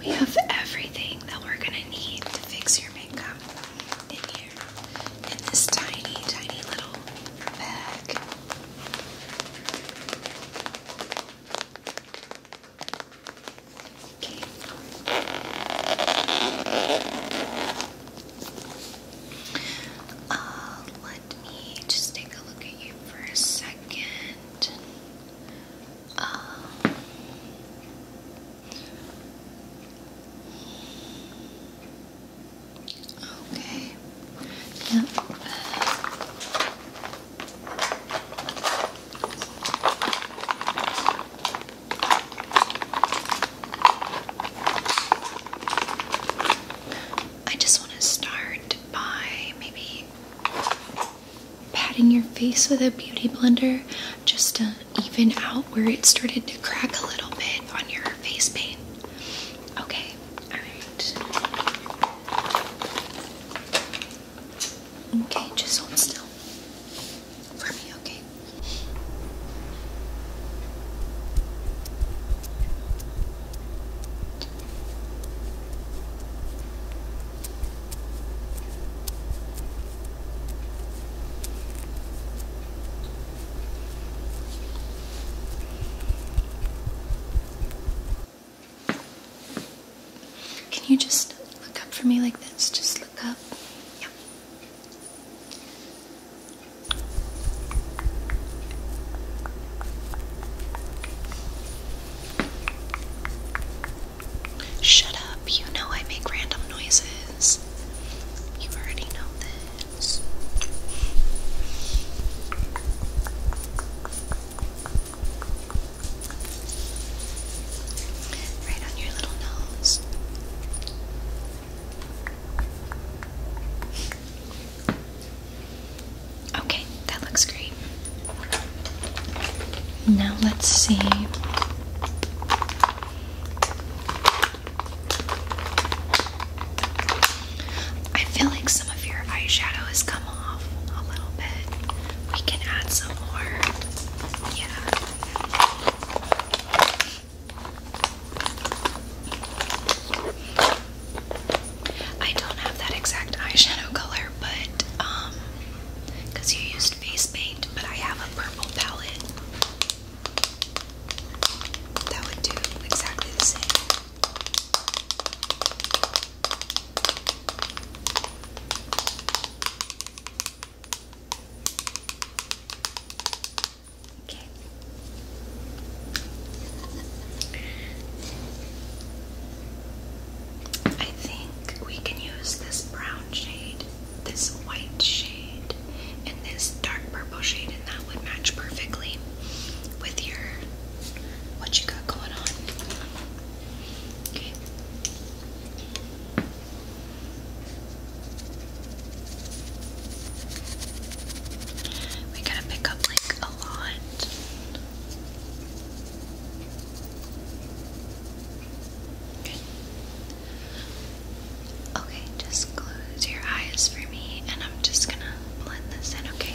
We have everything that we're going to need to fix your makeup in here in this tiny, tiny little bag. Okay. Uh, let me just take a look at you for a second. Um, okay. Yep. I just want to start by maybe patting your face with a beauty blender just to even out where it started to crack a little bit on your face paint. Okay, alright. Okay, just hold still for me, okay? Can you just look up for me like this? Just look up. Yep. Shut up, you know I make random noises. You already know this. Right on your little nose. Okay, that looks great. Now let's see. I feel like some of your eyeshadow has come off a little bit. We can add some more. Yeah. I don't have that exact eyeshadow color, but um, you used face paint, but I have a purple palette that would do exactly the same. Okay. I think we can use this brown shade, this white shade, and this dark purple shade, and that would match perfectly with your what you got going on. Okay. We're to pick up like a lot. Okay, just close your eyes for me and I'm just gonna blend this in, okay?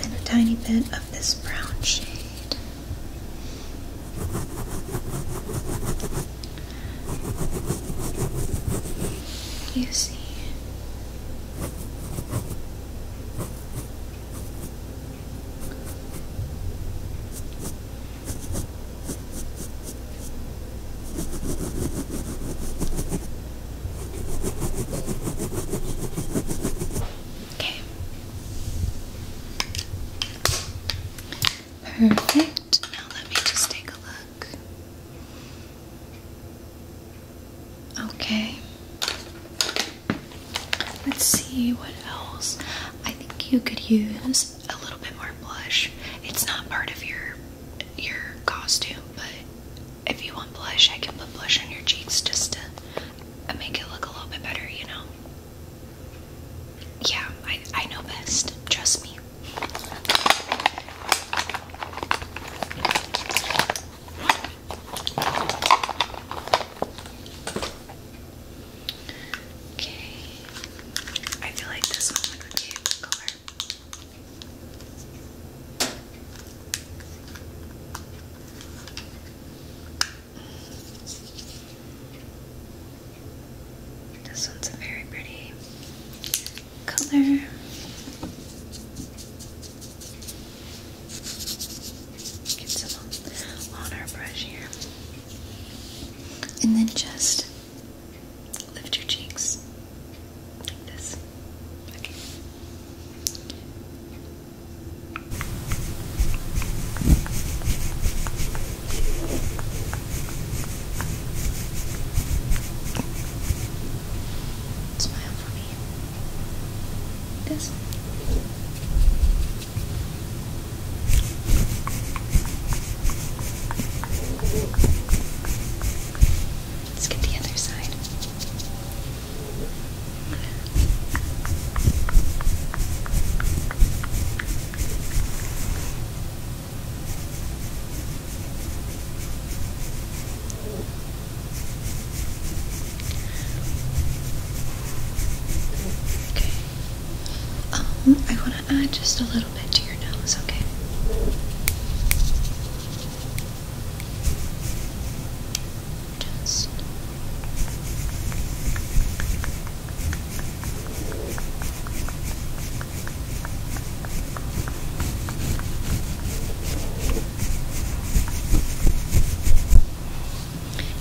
Then a tiny bit of this brown shade. You see. Okay. Perfect now let me just take a look. Okay. Let's see what else. I think you could use a little bit more blush. It's not part of your your costume, but if you want blush, I can put blush on your cheeks just to make it look a little bit better, you know. Yeah, I, I know best. Trust me. Okay. I feel like this one would be a good color. This one's a very pretty color. Get some on our brush here. And then just lift your cheeks like this. Okay. Smile for me. Yes. Let's get the other side. Okay. Um, I want to add just a little bit to your nose, okay? Just.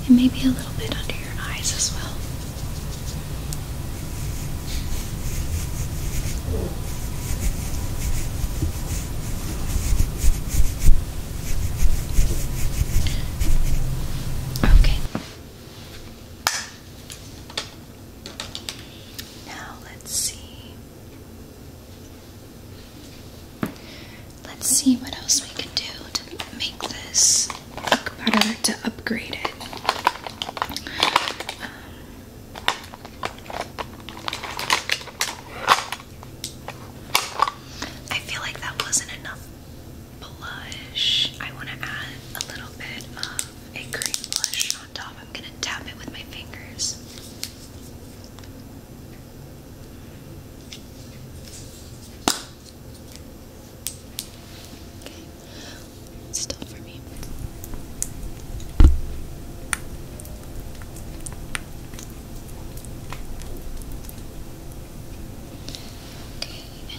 And maybe a little bit under your eyes as well. Okay. Now let's see. Let's see what else we can do to make this better, to upgrade it. Um, I feel like that wasn't enough blush. I want to add a little bit of a cream blush on top. I'm going to tap it with my fingers. still for me. Okay,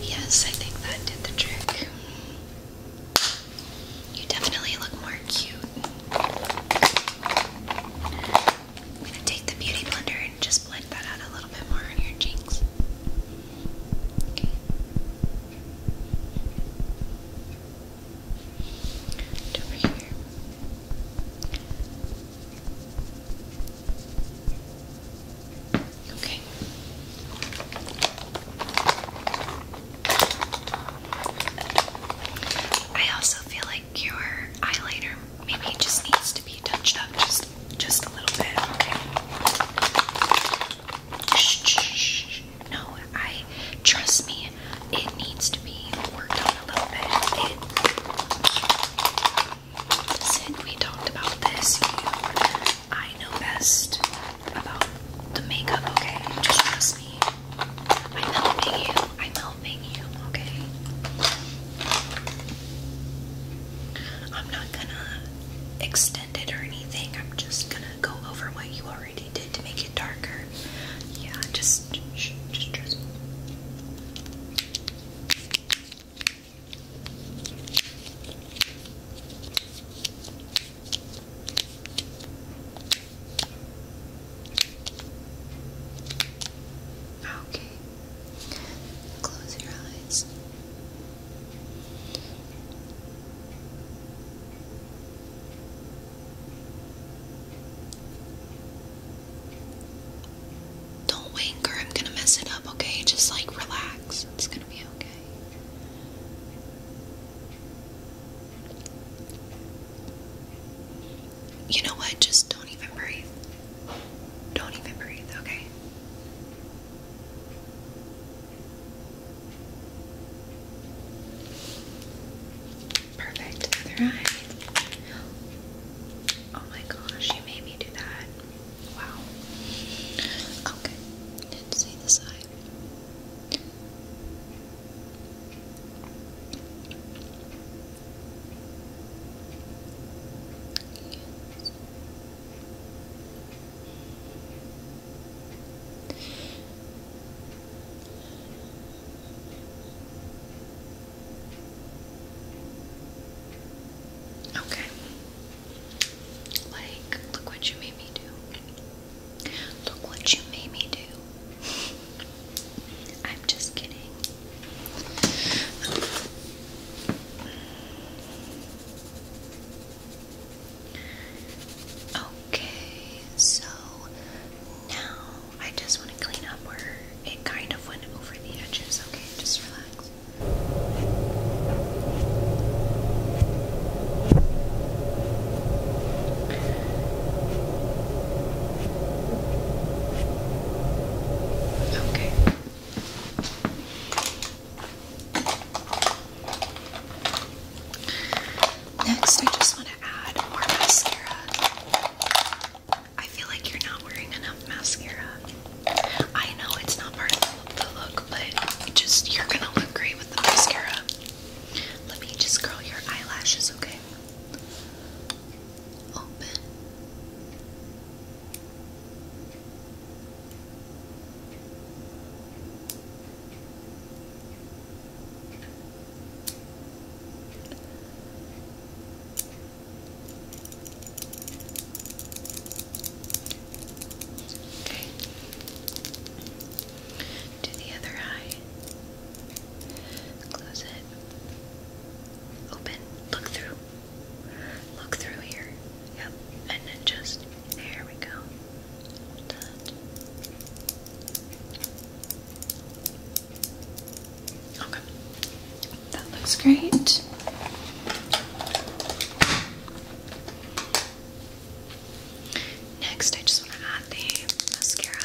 yes, I think that did the trick. You definitely look more cute. I'm gonna take the beauty blender and just blend that out a little bit more on your cheeks. over here. Okay. I also feel like your eyeliner maybe it just needs to be touched up just just a little bit. Okay. Shh, shh, shh. No, I trust me. It needs to since we talked about this, I know best about the makeup, okay? Just trust me. I'm helping you. I'm helping you, okay? I'm not gonna extend it or anything. I'm just gonna go over what you already did to make it darker. Yeah, just, just trust me. Okay. Close your eyes. Don't wink I'm gonna mess it up, okay? Just like relax. It's gonna be okay. You know what? Just don't even breathe. Don't even breathe, okay? Perfect. Other eye. Oh my gosh, you made me do that. Wow. Okay. see this eye. Okay. Like, look what you made me do. Look what you made me do. I'm just kidding. Okay, so now I just want to clean up where it kind of went over the edges, okay? Just relax. Okay. Next, I just want to add more mascara. I feel like you're not wearing enough mascara. I know it's not part of the look, but just you're gonna look great with the mascara. Let me just curl your eyelashes, okay? Open. Okay. Do the other eye. Close it. Open. Look through. Look through here. Yep. And then just there we go. Done. Okay. That looks great. Next, I just want to add the mascara.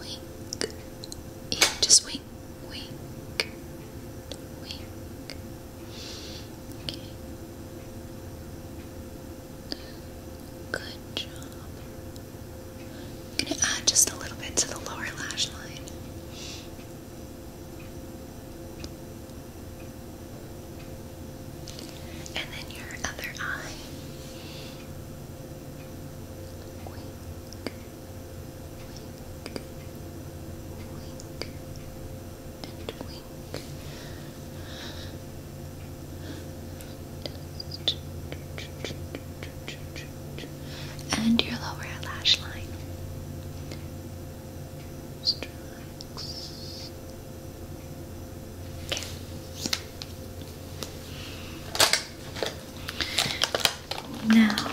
Wink. Yeah, just wink, wink, wink, Okay. Good job. going to add just a little bit to the lower lash line. And then your other eye. Wink wink, wink, and wink. And your lower lash line. Okay. Now, I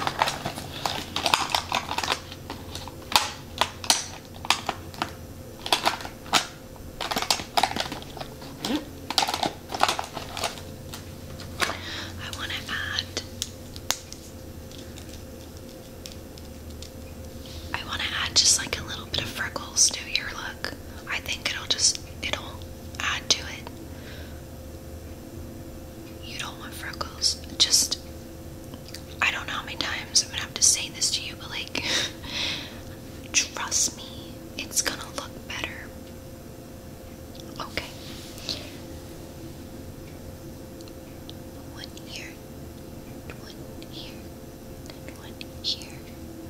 want to add. I want to add just like a little bit of freckles to your look. I think it'll just it'll add to it. You don't want freckles. Just, I don't know how many times I'm gonna have to say this to you, but like, trust me, it's gonna look better. Okay. One here, one here, one here,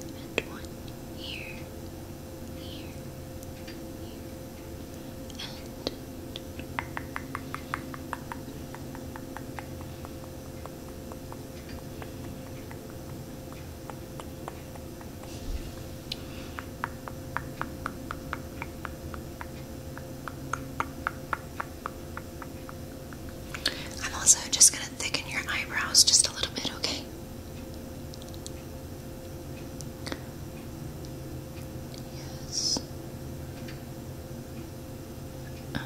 and one here, here, here. I'm also just going to thicken your eyebrows just a little bit, okay? Yes. Uh. And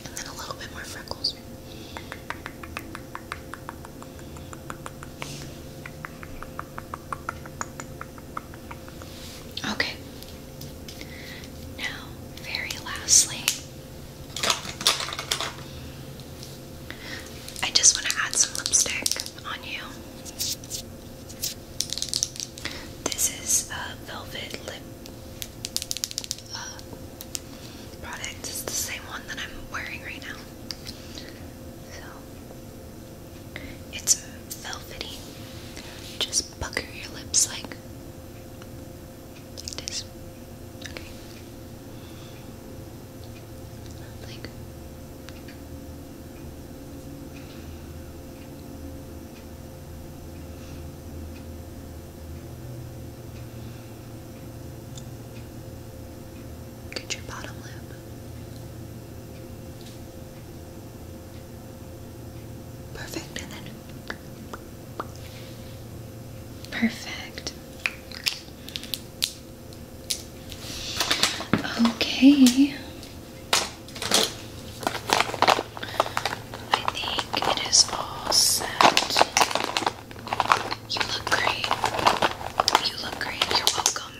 then a little bit more freckles. Okay. Now, very lastly, I just want to add some lipstick on you. This is a velvet lip uh, product. It's the same one that I'm wearing right now. So it's velvety. Just pucker your lips like, this. Okay. Like. Get your bottom lip. Perfect, Perfect. Okay. I think it is all set. You look great. You look great. You're welcome.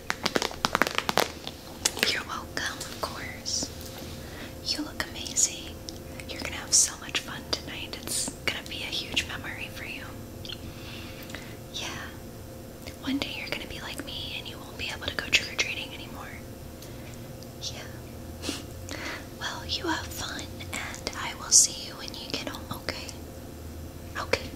You're welcome, of course. You look amazing. You're gonna have so much fun tonight. It's gonna be a huge memory for you. Yeah. One day you're gonna be like me and you won't be able to go trick or treating anymore. Yeah. well, you have fun and I will see you when you get home, okay? Okay.